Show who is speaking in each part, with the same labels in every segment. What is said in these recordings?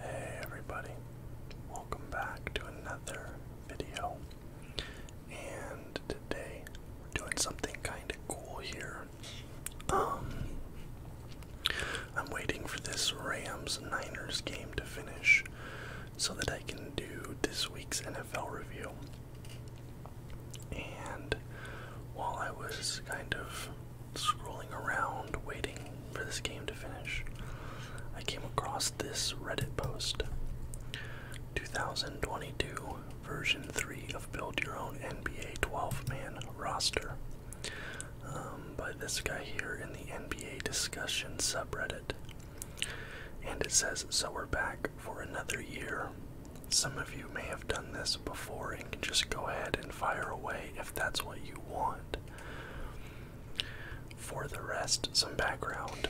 Speaker 1: Hey everybody, welcome back to another video. And today doing something kind of cool here. Um, I'm waiting for this Rams Niners game to finish so that I can do this week's NFL review. And while I was kind of scrolling around waiting for this game to finish, I came across this Reddit post 2022 version 3 of Build Your Own NBA 12 Man Roster um, by this guy here in the NBA discussion subreddit. And it says, So we're back for another year. Some of you may have done this before and can just go ahead and fire away if that's what you want. For the rest, some background.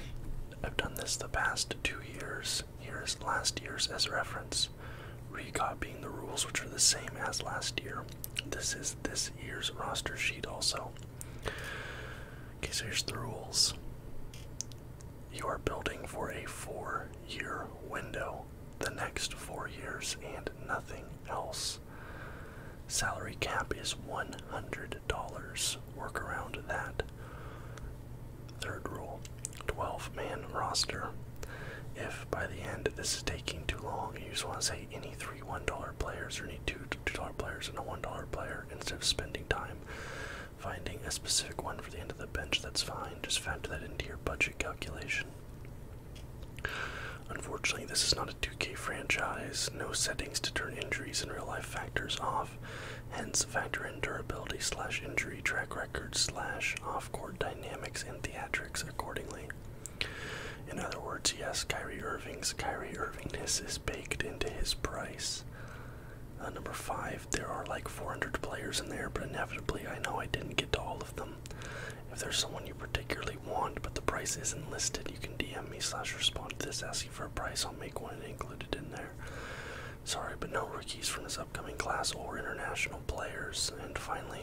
Speaker 1: I've done this the past two years. Here's last year's as reference, recopying the rules which are the same as last year. This is this year's roster sheet also. Okay, here's the rules. You are building for a four year window, the next four years, and nothing else. Salary cap is $100. Work around that. Third rule 12 man roster. If by the end this is taking too long, you just want to say any three $1 players or any two $2 players and a $1 player instead of spending time finding a specific one for the end of the bench, that's fine. Just factor that into your budget calculation. Unfortunately, this is not a 2K franchise, no settings to turn injuries and real life factors off, hence factor in durability slash injury track record slash off-court dynamics and theatrics accordingly. In other words, yes, Kyrie Irving's Kyrie Irvingness is baked into his price. Uh, number five, there are like 400 players in there, but inevitably I know I didn't get to all of them. If there's someone you particularly want but the price isn't listed, you can DM me slash respond to this asking for a price. I'll make one and include it in there. Sorry, but no rookies from this upcoming class or international players. And finally,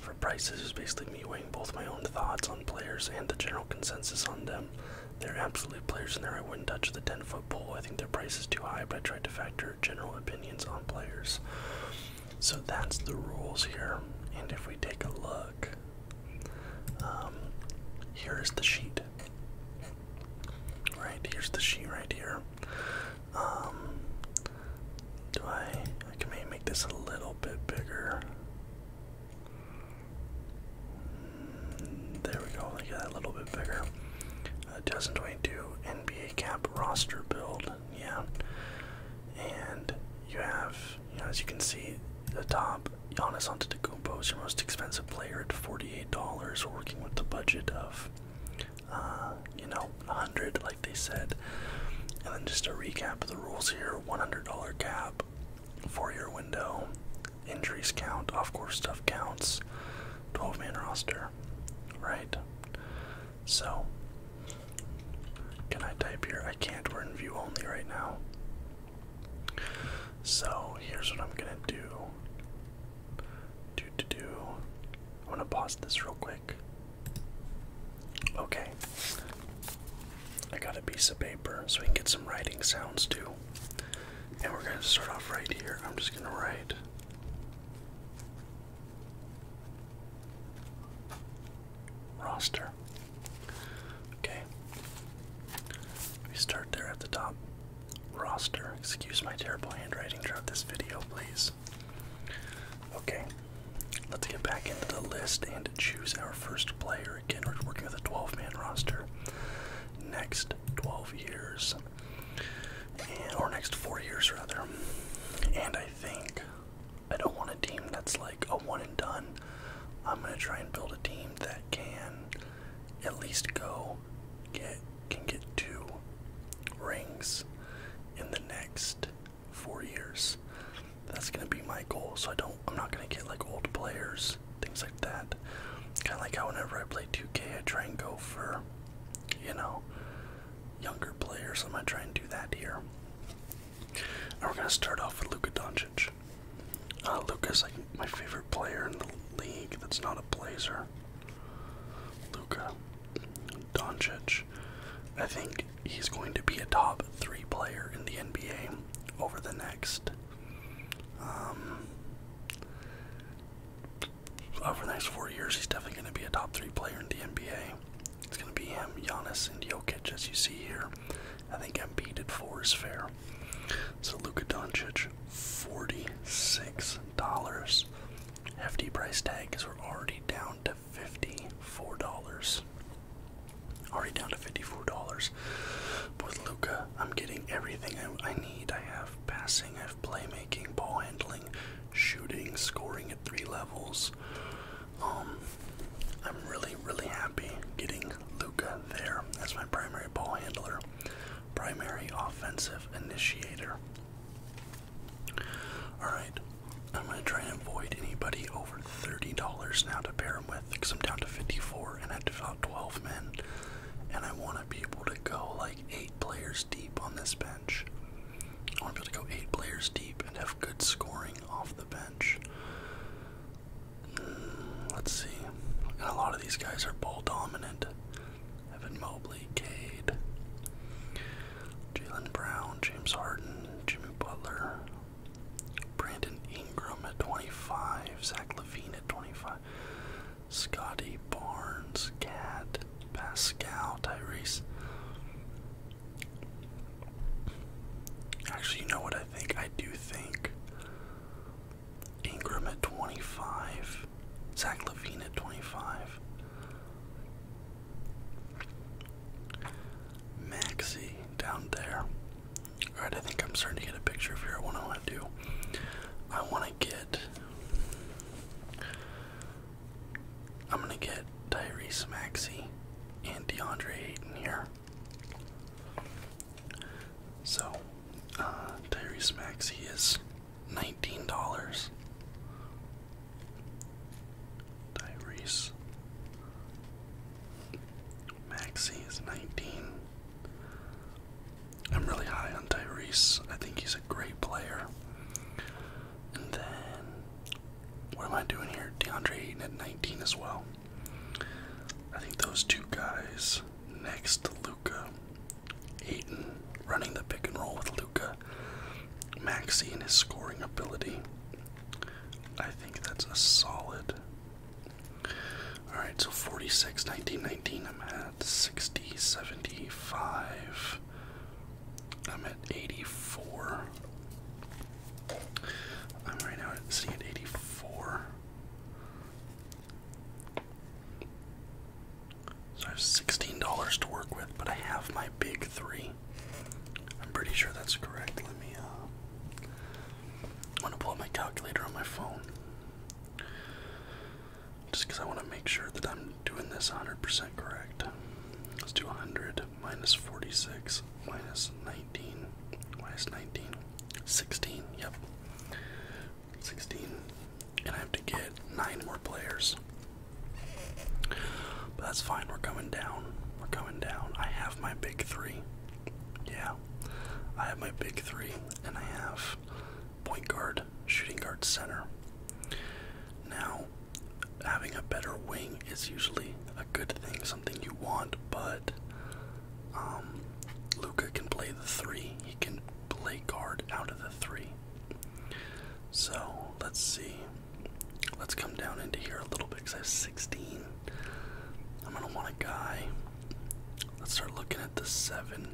Speaker 1: for prices is basically me weighing both my own thoughts on players and the general consensus on them. There are absolute players in there. I wouldn't touch the 10 foot pole. I think their price is too high, but I tried to factor general opinions on players. So that's the rules here. And if we take a look, um, here is the sheet. Right, here's the sheet right here. Um, do I, I can maybe make this a little bit bigger. Mm, there we go, like that, a little bit bigger. Uh, 2022 NBA cap roster build, yeah and you have, as you can see, the top Giannis Antetokounmpo is your most expensive player at forty-eight dollars, working with the budget of, uh, you know, hundred, like they said. And then just a recap of the rules here: one hundred dollar cap, four-year window, injuries count, off-course stuff counts, twelve-man roster, right? So, can I type here? I can't, we're in view only right now. So, here's what I'm gonna do. Do, do, do. I'm to pause this real quick. Okay. I got a piece of paper so we can get some writing sounds too. And we're gonna start off right here. I'm just gonna write roster. Okay. We start there at the top. Roster. Excuse my terrible handwriting throughout this video, please. Okay. Let's get back into the list and choose our first player. Again, we're working with a 12 man roster. Next 12 years. or next four years, rather. And I think I don't want a team that's like a one and done. I'm gonna try and build a team that can at least go get can get two rings in the next four years. That's gonna be my goal. So I don't I'm not gonna get like old players, things like that. Kinda like how whenever I play 2K I try and go for you know younger players. I'm gonna try and do that here. we're gonna start off with Luka Doncic. Uh, is like my favorite player in the league. That's not a Blazer. Luka Doncic. I think he's going to be a top three player in the NBA over the next. Um, over the next four years, he's definitely going to be a top three player in the NBA. It's going to be him, Giannis, and Jokic, as you see here. I think Embiid at four is fair. So Luka Doncic, $46. Hefty price tag because we're already down to $54. Already down to $54. But with Luka, I'm getting everything I need. I have passing, I have playmaking, ball handling, shooting, scoring three levels. Um, I'm really, really happy getting Luca there as my primary ball handler, primary offensive initiator. Alright, I'm going to try and avoid anybody over $30 now to pair him with because I'm down to 54 and I have about 12 men. And I want to be able to go like 8 players deep on this bench. I want to be able to go eight players deep and have good scoring off the bench. Hmm, let's see. a lot of these guys are ball dominant. Evan Mobley, Cade, Jalen Brown, James Harden, Jimmy Butler, Brandon Ingram at 25, Zach Levine at 25, Scotty Barnes, Cat, Pascal Tyrese. Actually, you know what I think? I do think Ingram at 25, Zach Levine at 25, Maxi down there. Alright, I think I'm starting to get a picture of here. What I want to do, I want to get. I'm gonna get Tyrese Maxey and DeAndre Ayton here. So, uh, Tyrese Maxey is nineteen dollars. Tyrese Maxey is nineteen. I'm really high on Tyrese. I think he's a great player. And then, what am I doing here? DeAndre Ayton at 19 as well. I think those two guys next to Luca, Ayton running the pick and roll with Luca, Maxi in his scoring ability. I think that's a solid. Alright, so 46, 19, 19, I'm at 60, 75. I'm at 84. I'm right now sitting at 84. So I have $16 to work with, but I have my big three. I'm pretty sure that's correct. Let me, uh, i to pull up my calculator on my phone just because I want to make sure that I'm doing this 100% correct. Let's do 100 minus 46 minus 19 minus 19, 16, yep, 16, and I have to get 9 more players. But that's fine, we're coming down, we're coming down. I have my big three, yeah, I have my big three, and I have point guard, shooting guard, center. Now, having a better wing is usually a good thing, something you want, but um, Luca can play the three. He can play guard out of the three. So let's see. Let's come down into here a little bit because I have 16. I'm going to want a guy. Let's start looking at the seven.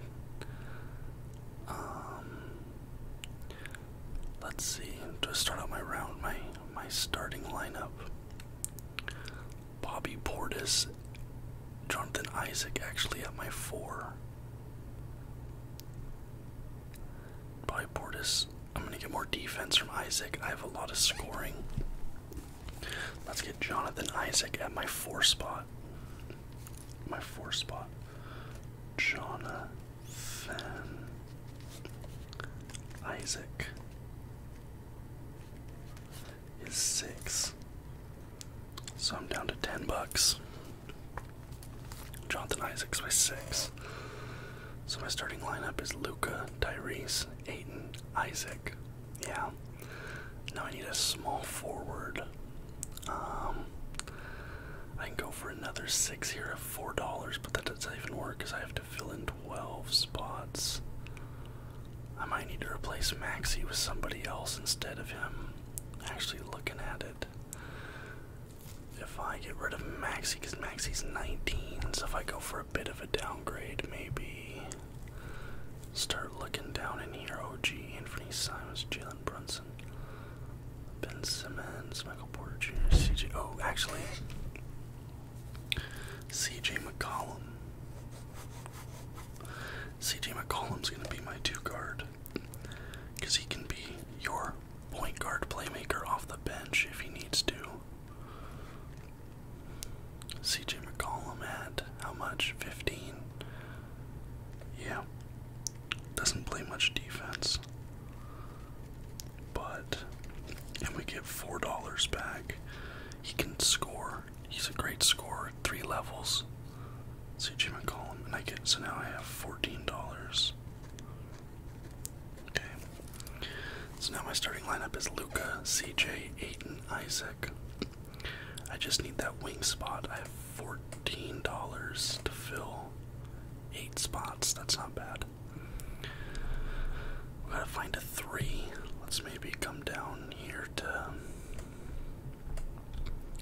Speaker 1: Um, Let's see. Do I start out my round, my my starting lineup. Bobby Portis, Jonathan Isaac actually at my four. Bobby Portis. I'm gonna get more defense from Isaac. I have a lot of scoring. Let's get Jonathan Isaac at my four spot. My four spot. Jonathan, Isaac is six, so I'm down to ten bucks. Jonathan Isaac is six, so my starting lineup is Luca, Tyrese, Aiton, Isaac. Yeah. Now I need a small forward. Um, I can go for another six here of four dollars, but that doesn't even work because I have to fill in twelve spots. I might need to replace Maxi with somebody else instead of him. Actually, looking at it, if I get rid of Maxi, because Maxi's 19, so if I go for a bit of a downgrade, maybe start looking down in here. OG, Anthony Simons, Jalen Brunson. Ben Simmons, Michael Porter Jr., CJ. Oh, actually, CJ McCollum. CJ McCollum's going to be my two guard because he can be your point guard playmaker off the bench if he needs to. CJ McCollum at how much? 15? Yeah. Doesn't play much defense. But, and we get $4 back. He can score. He's a great scorer. Three levels. CJ McCollum. And I get, so now I have $14. Okay. So now my starting lineup is Luca, CJ, Aiden, Isaac. I just need that wing spot. $14 to fill eight spots. That's not bad. We gotta find a three. Let's maybe come down here to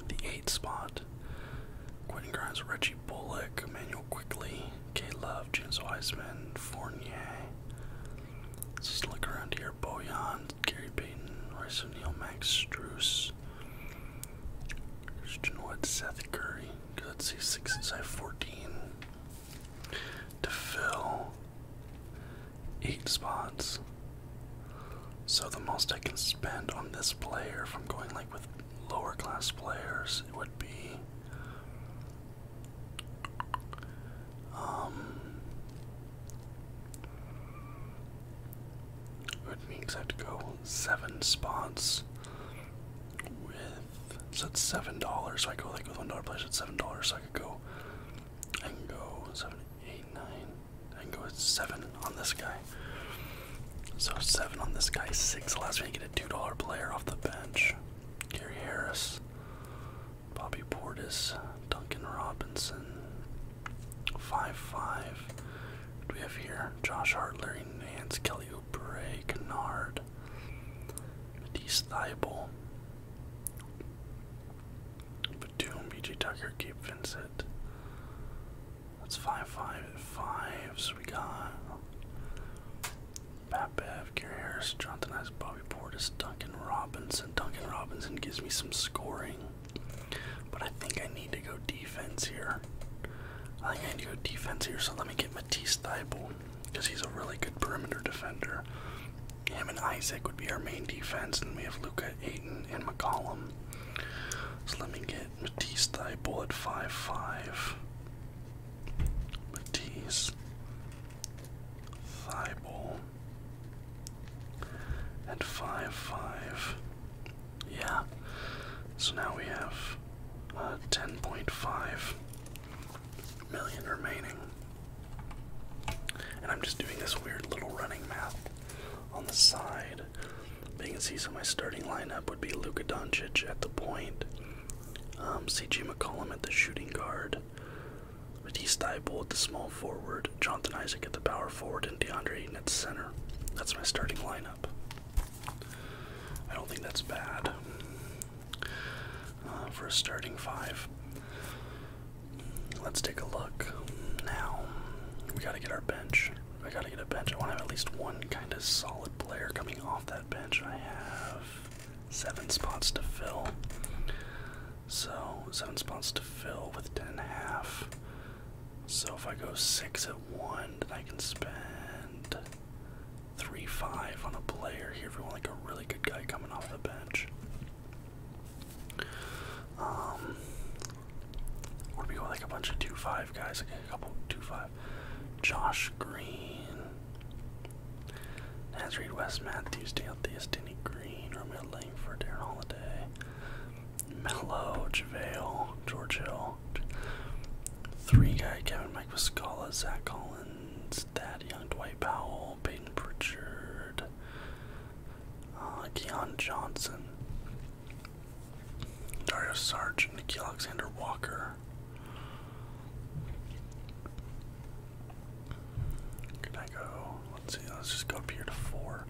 Speaker 1: the eight spot. Quentin Grimes, Reggie Bullock, Emmanuel Quickly, K Love, James Wiseman, Fournier. Let's just look around here. Bojan, Gary Payton, Royce O'Neal, Max Struess. Rogers. Christian Wood, Seth Curry. let's see, sixes. I 14. To fill eight spots. So the most I can spend on this player, from going like with lower class players, it would be um, which means I have to go seven spots with so it's seven dollars. So I go like with one dollar place it's seven dollars. So I could go I can go seven, eight, nine. I can go with seven on this guy. So seven on this guy, six allows me to get a two dollar player off the bench. Gary Harris, Bobby Portis, Duncan Robinson, five five do we have here? Josh Hart, Nance, Kelly Oubre, Kennard, Matisse Thibel, Batum, BJ Tucker, Gabe Vincent. That's five, five, fives. We got Pat Bev, Gary Harris, Jonathan Ice, Bobby Portis, Duncan Robinson. Duncan Robinson gives me some scoring. But I think I need to go defense here. I think I need to go defense here, so let me get Matisse Thibault because he's a really good perimeter defender. Him and Isaac would be our main defense, and we have Luca, Aiton, and McCollum. So let me get Matisse Thibault at 5-5. Matisse Thibault at 5 5. Yeah. So now we have uh, 10.5 million remaining. And I'm just doing this weird little running math on the side. you can see, so my starting lineup would be Luka Doncic at the point, um, CG McCollum at the shooting guard, Matisse Thibault at the small forward, Jonathan Isaac at the power forward, and DeAndre Ayton at center. That's my starting lineup. I don't think that's bad uh, for a starting five. Let's take a look. Now, we gotta get our bench. I gotta get a bench. I wanna have at least one kind of solid player coming off that bench. I have seven spots to fill. So, seven spots to fill with ten and a half. So if I go six at one, then I can spend three five on a player here if we want like a really good guy coming off the bench. Um or we go like a bunch of two five guys, like a couple two five. Josh Green. Nazreed West Matthews, Dale Theus, Denny Green, Romeo Langford, Aaron Holiday. Mello, JaVale, George Hill. Three guy, Kevin Mike Viscala, Zach Collins, Thad Young, Dwight Powell, Peyton Pritchard, uh, Keon Johnson, Dario Sarge, Nikki Alexander Walker. Can I go? Let's see, let's just go up here to four.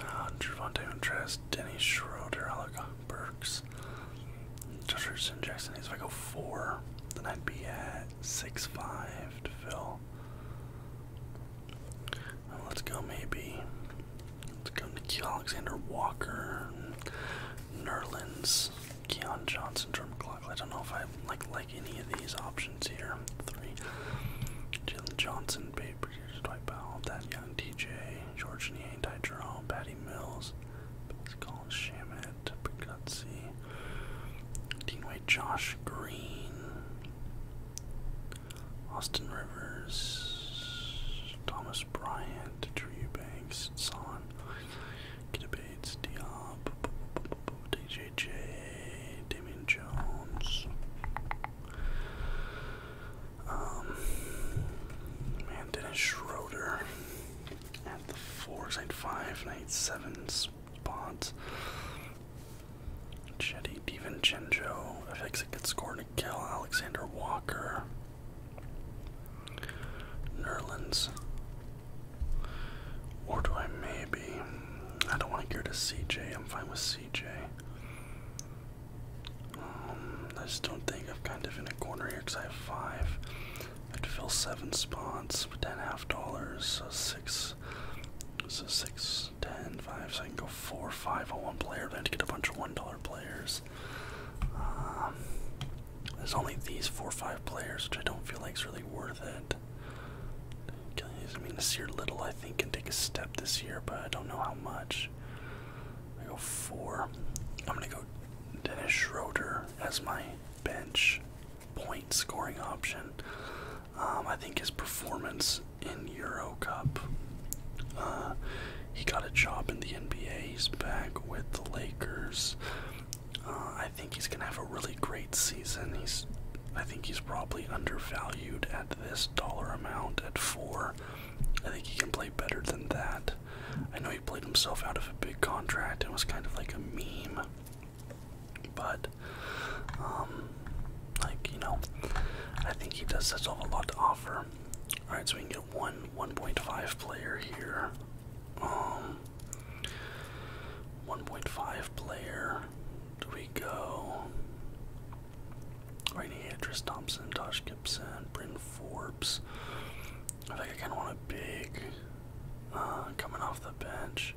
Speaker 1: Uh, Javante Montrez, Denny Schroeder, Alec Burks, Josh Jackson If I go four, then I'd be at six five to fill. let's go maybe. Let's go Nikhil Alexander Walker, Nerlens, Keon Johnson, Jordan I don't know if I like any of these options here. Three. Jalen Johnson, Babe Bridges, Dwight Powell, that Young, DJ, George Niang, Ty Jerome, Patty Mills, Pascal Shamet, Pagutsi, Dean White, Josh Green, Austin Rivers, Thomas Bryant, Drew Banks, and so on. Kita Bates, DJJ, Damien Jones. Um, man, Dennis Schroeder at the fours, eight five, eight seven spots. Chetty DiVincenzo, FX gets scored and kill. Alexander Walker, Nerlens or do I maybe. I don't want to go to CJ. I'm fine with CJ. Um, I just don't think I'm kind of in a corner here because I have five. I have to fill seven spots with ten half dollars. So six. So six, ten, five. So I can go four, five on one player. But to get a bunch of one dollar players. Um, there's only these four, five players, which I don't feel like is really worth it. I mean, Nasir Little, I think, can take a step this year, but I don't know how much. I go four. I'm going to go Dennis Schroeder as my bench point scoring option. Um, I think his performance in Euro Cup, uh, he got a job in the NBA. He's back with the Lakers. Uh, I think he's gonna have a really great season. He's, I think he's probably undervalued at this dollar amount at four. I think he can play better than that. I know he played himself out of a big contract. and was kind of like a meme, but, um, like you know, I think he does that's a lot to offer. All right, so we can get one 1.5 player here. Um, 1.5 player. Do we go? Right here, Thompson, Tosh Gibson, Bryn Forbes. I think I kind of want a big uh, coming off the bench.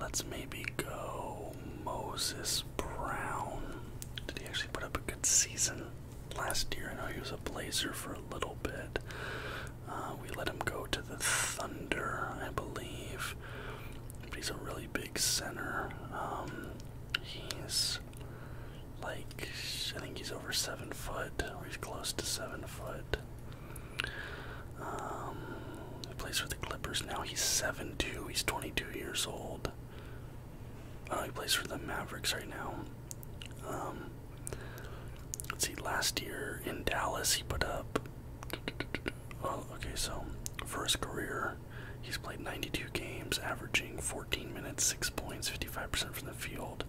Speaker 1: Let's maybe go Moses Brown. Did he actually put up a good season last year? I know he was a Blazer for a little bit. Uh, we let him go to the Thunder, I believe. he's a really big center. Um, he's like I think he's over seven foot, or he's close to seven foot. Um, he plays for the Clippers now. He's seven two. He's twenty two years old. Uh, he plays for the Mavericks right now. Um, Let's see, last year in Dallas, he put up. Oh, okay, so for his career, he's played 92 games, averaging 14 minutes, 6 points, 55% from the field,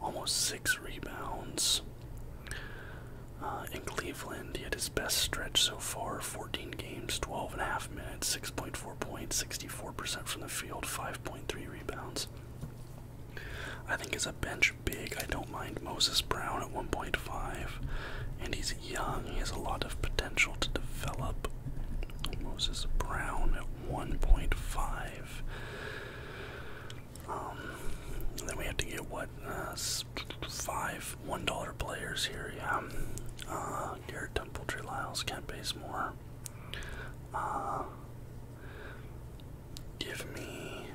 Speaker 1: almost 6 rebounds. Uh, in Cleveland, he had his best stretch so far 14 games, twelve and a half minutes, 6.4 points, 64% from the field, 5.3 rebounds. I think as a bench big, I don't mind Moses Brown at 1.5, and he's young. He has a lot of potential to develop. Moses Brown at 1.5. Um, then we have to get what uh, five one dollar players here. Yeah, uh, Garrett Temple, Trey Lyles, Kent Basemore. Uh, Give me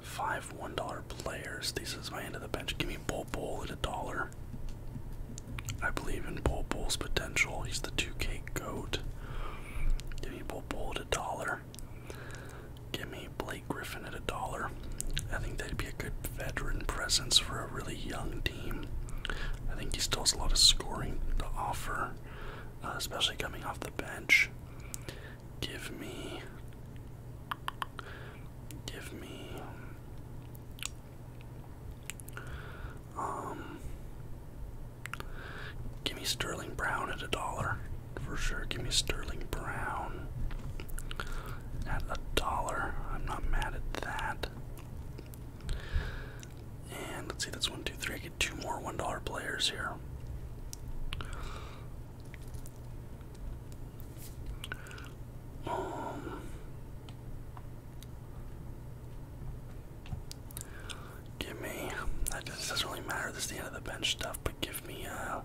Speaker 1: five $1 players. This is my end of the bench. Give me Bull Bull at a dollar. I believe in Bull Bull's potential. He's the 2K goat. Give me Bull Bull at a dollar. Give me Blake Griffin at a dollar. I think that'd be a good veteran presence for a really young team. I think he still has a lot of scoring to offer. Uh, especially coming off the bench. Give me, give me, um, give me Sterling Brown at a dollar for sure. Give me Sterling Brown at a dollar. I'm not mad at that. And let's see, that's one, two, three two more $1 players here. Um, give me, that doesn't really matter, this is the end of the bench stuff, but give me, uh,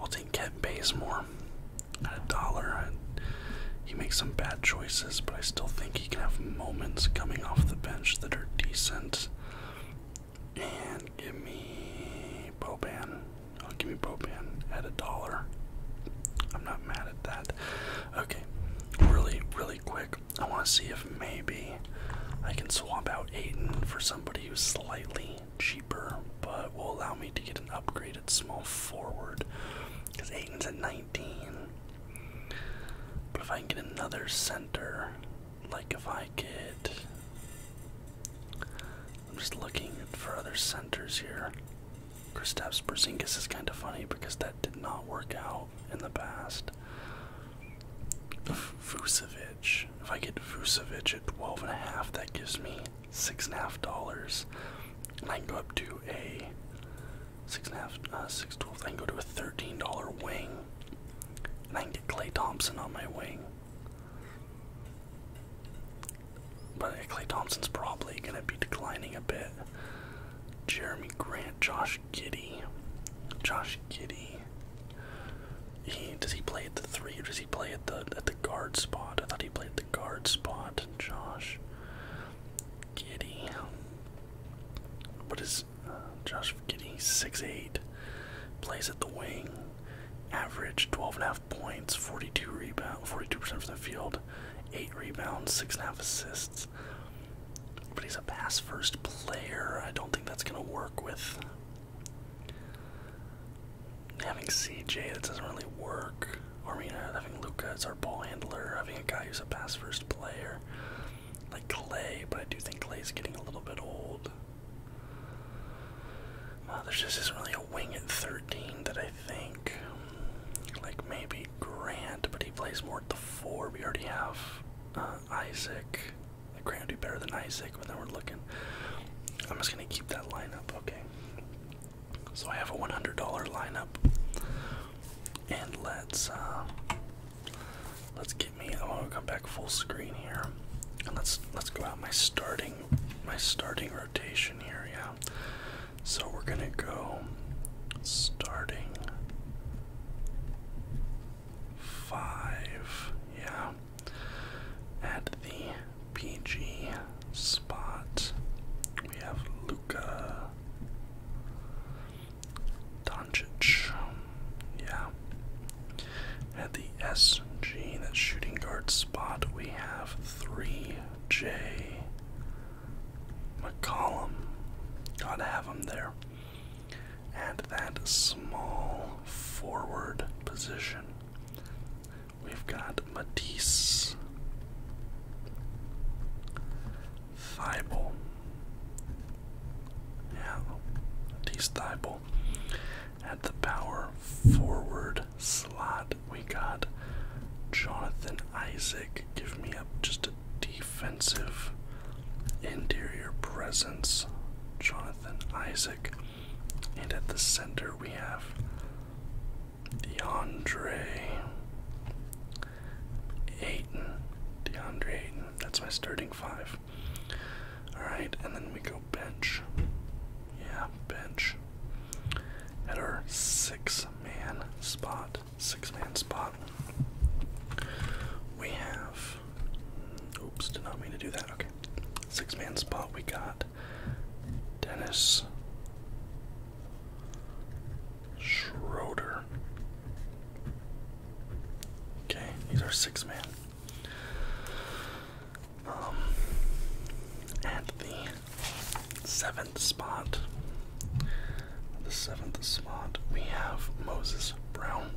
Speaker 1: I'll take Kent Bazemore at a dollar. He makes some bad choices but I still think he can have moments coming off the bench that are decent. And give me Boban. I'll oh, give me Boban at a dollar. I'm not mad at that. Okay, really, really quick. I want to see if maybe I can swap out Aiden for somebody who's slightly cheaper, but will allow me to get an upgraded small forward. Because Aiden's at 19. But if I can get another center, like if I could. I'm just looking for other centers here. Kristaps Porzingis is kind of funny because that did not work out in the past. Vucevic. If I get Vucevic at twelve and a half, that gives me six and a half dollars, and I can go up to a six and a half, uh, six twelve. I can go to a thirteen dollar wing, and I can get Clay Thompson on my wing. But Clay Thompson's probably gonna be declining a bit. Jeremy Grant, Josh Giddy, Josh Giddy. He does he play at the three or does he play at the at the guard spot? I thought he played at the guard spot. Josh Giddy. What is uh, Josh six eight, Plays at the wing. Average 12.5 points, 42 rebound, 42% from the field, 8 rebounds, 6.5 assists. But he's a pass first player. I don't think that's going to work with having CJ. That doesn't really work. Or, having Luca as our ball handler, having a guy who's a pass first player. Like Clay, but I do think Clay's getting a little bit old. Uh, there just isn't really a wing at 13 that I think. Like maybe Grant, but he plays more at the 4. We already have uh, Isaac. Like Grant would be better than Isaac, but then we're looking. I'm just going to keep that lineup, okay? So I have a $100 lineup and let's uh, let's get me. I want to come back full screen here, and let's let's go out my starting my starting rotation here. Yeah, so we're gonna go starting five. Yeah, at the PG spot we have Luca. Doncic, um, yeah. At the SG, that shooting guard spot, we have 3J McCollum. Gotta have him there. At that small forward position, we've got Matisse. Thibault. Yeah, Matisse At the power forward slot, we got Jonathan Isaac. Give me up just a defensive interior presence. Jonathan Isaac. And at the center, we have DeAndre Ayton, DeAndre Ayton. That's my starting five. Alright, and then we go bench. Yeah, bench. At our six man spot. Six man spot. We have. Oops, did not mean to do that. Okay. Six man spot, we got Dennis Schroeder. Okay, he's our six man. Um, at the seventh spot, the seventh spot, we have Moses Brown.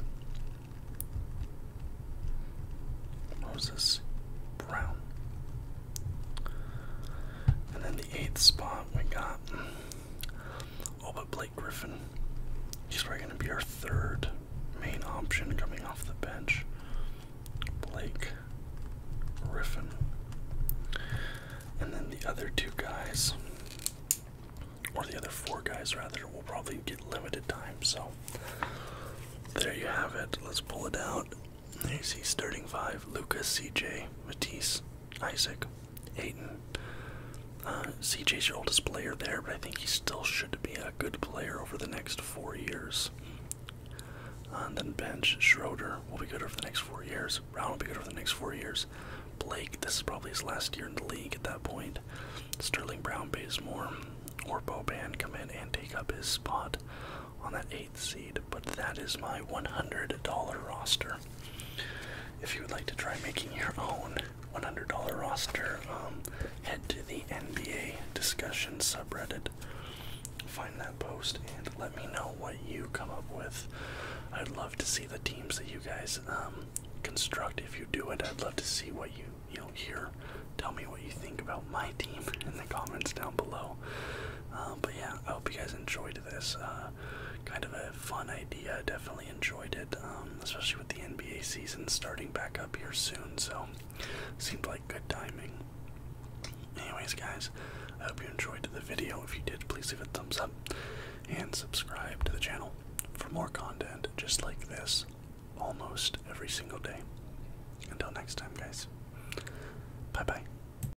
Speaker 1: Moses Brown. And then the eighth spot, we got Oh, but Blake Griffin, he's probably going to be our third main option coming off the bench. Blake Griffin. And then the other two guys, or the other four guys rather, will probably get limited time. So there you have it. Let's pull it out. There you see starting five Lucas, CJ, Matisse, Isaac, Aiton. Uh, CJ's your oldest player there, but I think he still should be a good player over the next four years. Uh, and then bench Schroeder will be good over the next four years. Brown will be good over the next four years. Blake, this is probably his last year in the league at that point. Sterling Brown pays more. Or Boban come in and take up his spot on that eight seed, but that is my $100 roster. If you would like to try making your own $100 roster, um, head to the NBA discussion subreddit. Find that post and let me know what you come up with. I'd love to see the teams that you guys um, construct. If you do it, I'd love to see what you you know hear. Tell me what you think about my team in the comments down below. Uh, but yeah, I hope you guys enjoyed this. Uh, kind of a fun idea. Definitely enjoyed it, um, especially with the NBA season starting back up here soon. So, seemed like good timing. Anyways, guys, I hope you enjoyed the video. If you did, please leave a thumbs up and subscribe to the channel for more content just like this almost every single day. Until next time, guys. Bye bye.